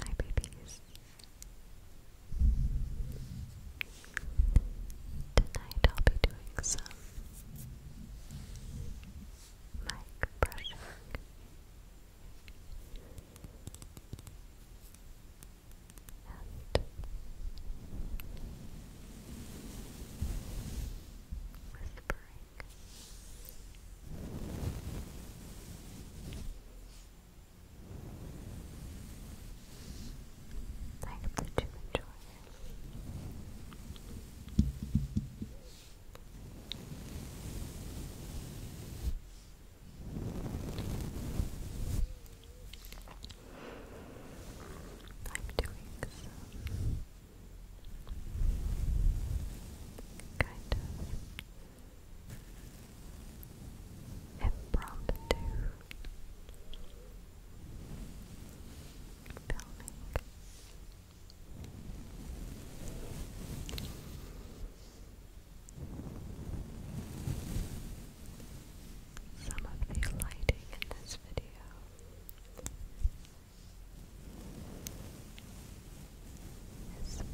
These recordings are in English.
Hi, babies. Tonight I'll be doing some mic whispering. I hope that you enjoy I'm doing some kind of impromptu filming. Some of the lighting in this video is from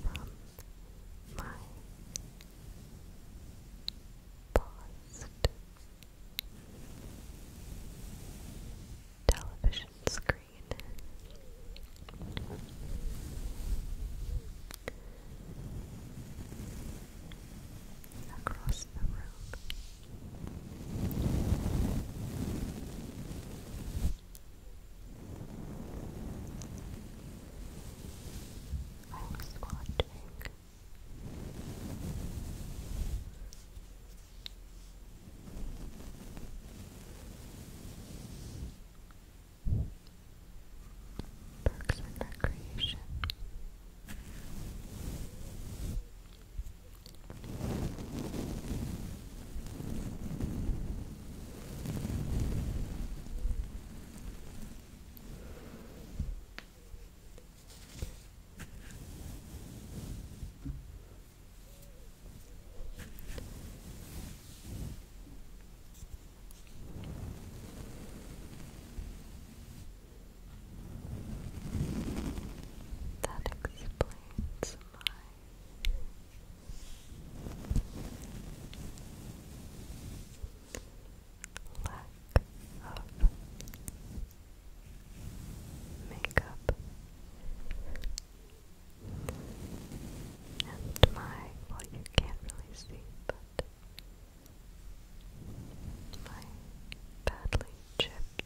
my paused television screen. Across the room, I was watching Parks and Recreation. That explains Lack of makeup and my well you can't really see but my badly chipped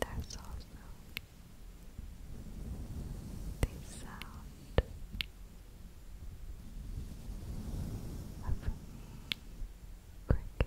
There's also the sound of me cricket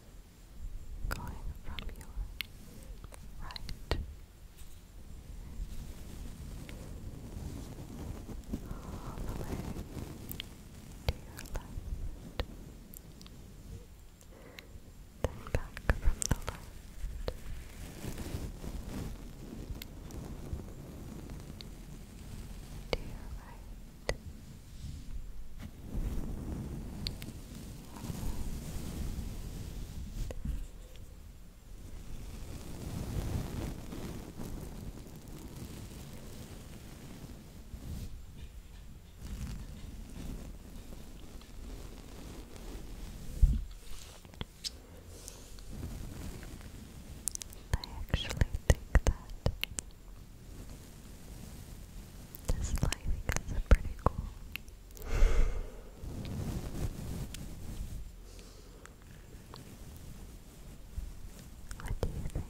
going from your right all the way to your left, then back from the left. To your right, I actually think that this lighting is pretty cool. What do you think?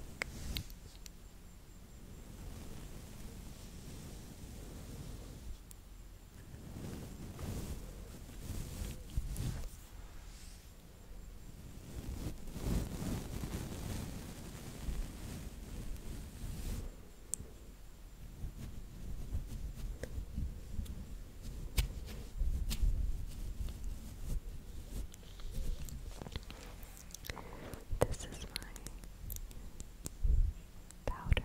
This is my powder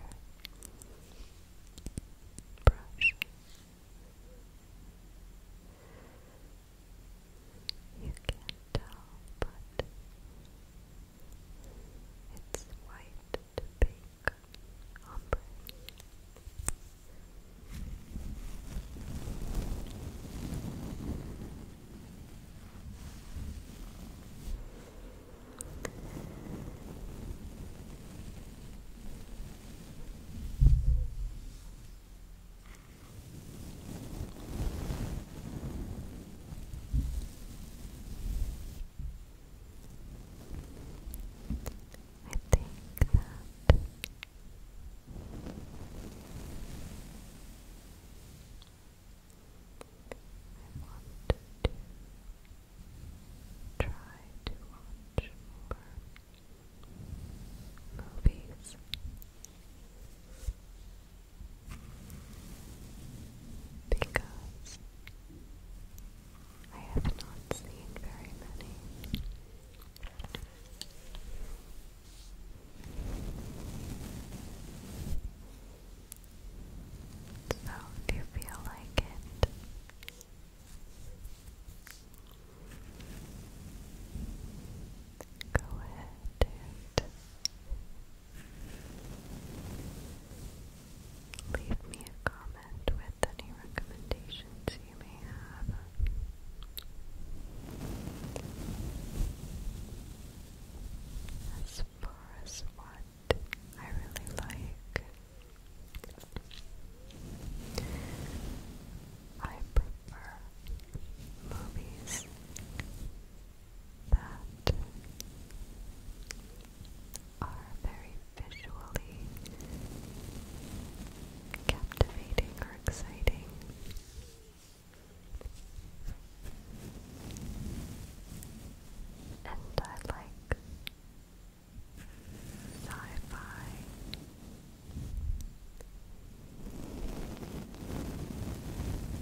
brush. You can't tell, but it's white to pink I think that I want to try to watch more movies. Because I have not seen very many. So, do you feel like it? Go ahead and leave me a comment with any recommendations you may have. As far as what I really like, I prefer movies that are very visually captivating or exciting. And I sci-fi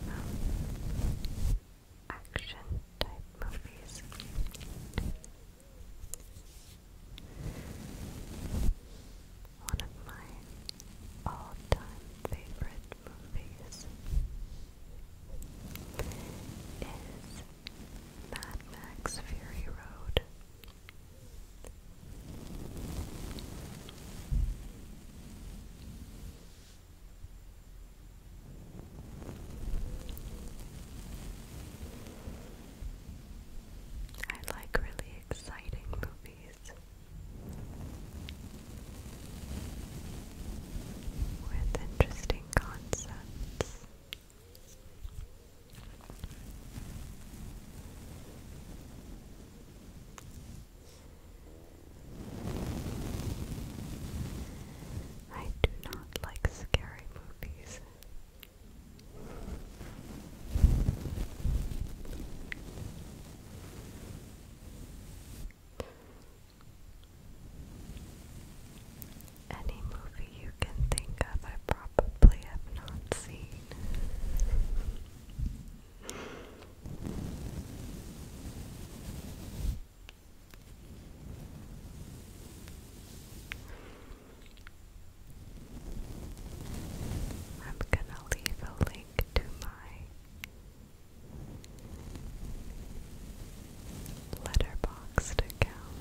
um, action type movies. One of my all-time favorite movies is Mad Max Fury Road. I like really exciting movies with interesting concepts. I do not like scary movies. Any movie you can think of, I probably have not seen. I'm gonna leave a link to my letterboxed account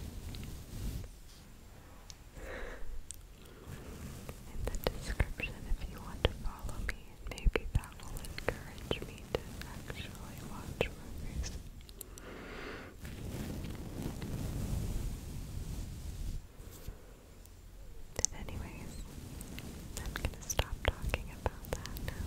in the description if you want to follow me. Maybe that will encourage me to actually watch movies. But anyways, I'm gonna stop talking about that now.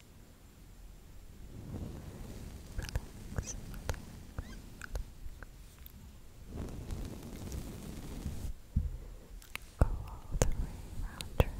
relax, Go all the way around your head.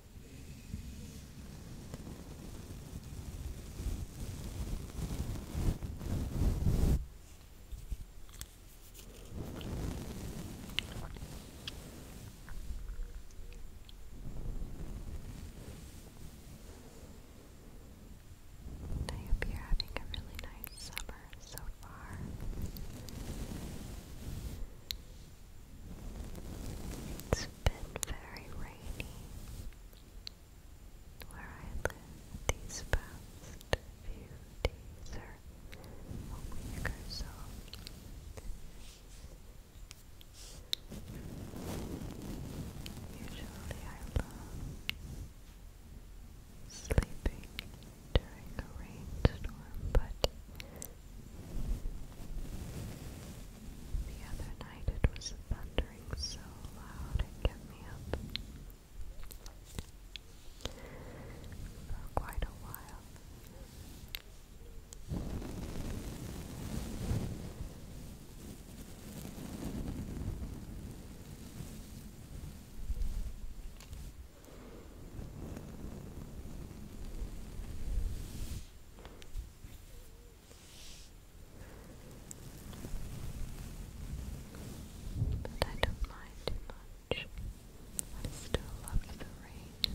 I hope you're having a really nice summer so far. It's been very rainy where I live these past few days or a or so. Usually I love sleeping during a rainstorm, but the other night it was thundering so loud it kept me up. For quite a while. But I don't mind much. I still love the rain.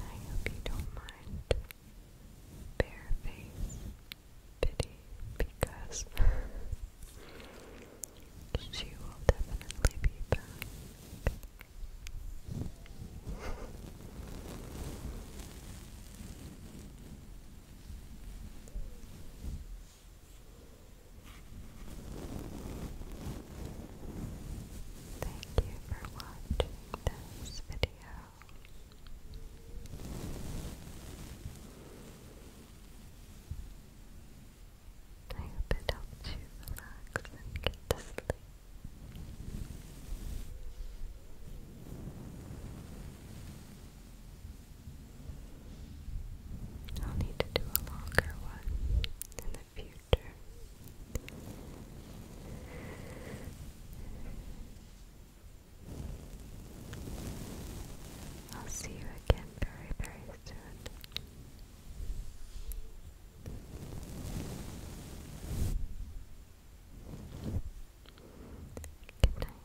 I hope you don't mind bareface pity because she will definitely be back. Thank you for watching this video. I hope it helped you relax and get to sleep. I'll need to do a longer one in the future. I'll see you again very, very soon. Good night.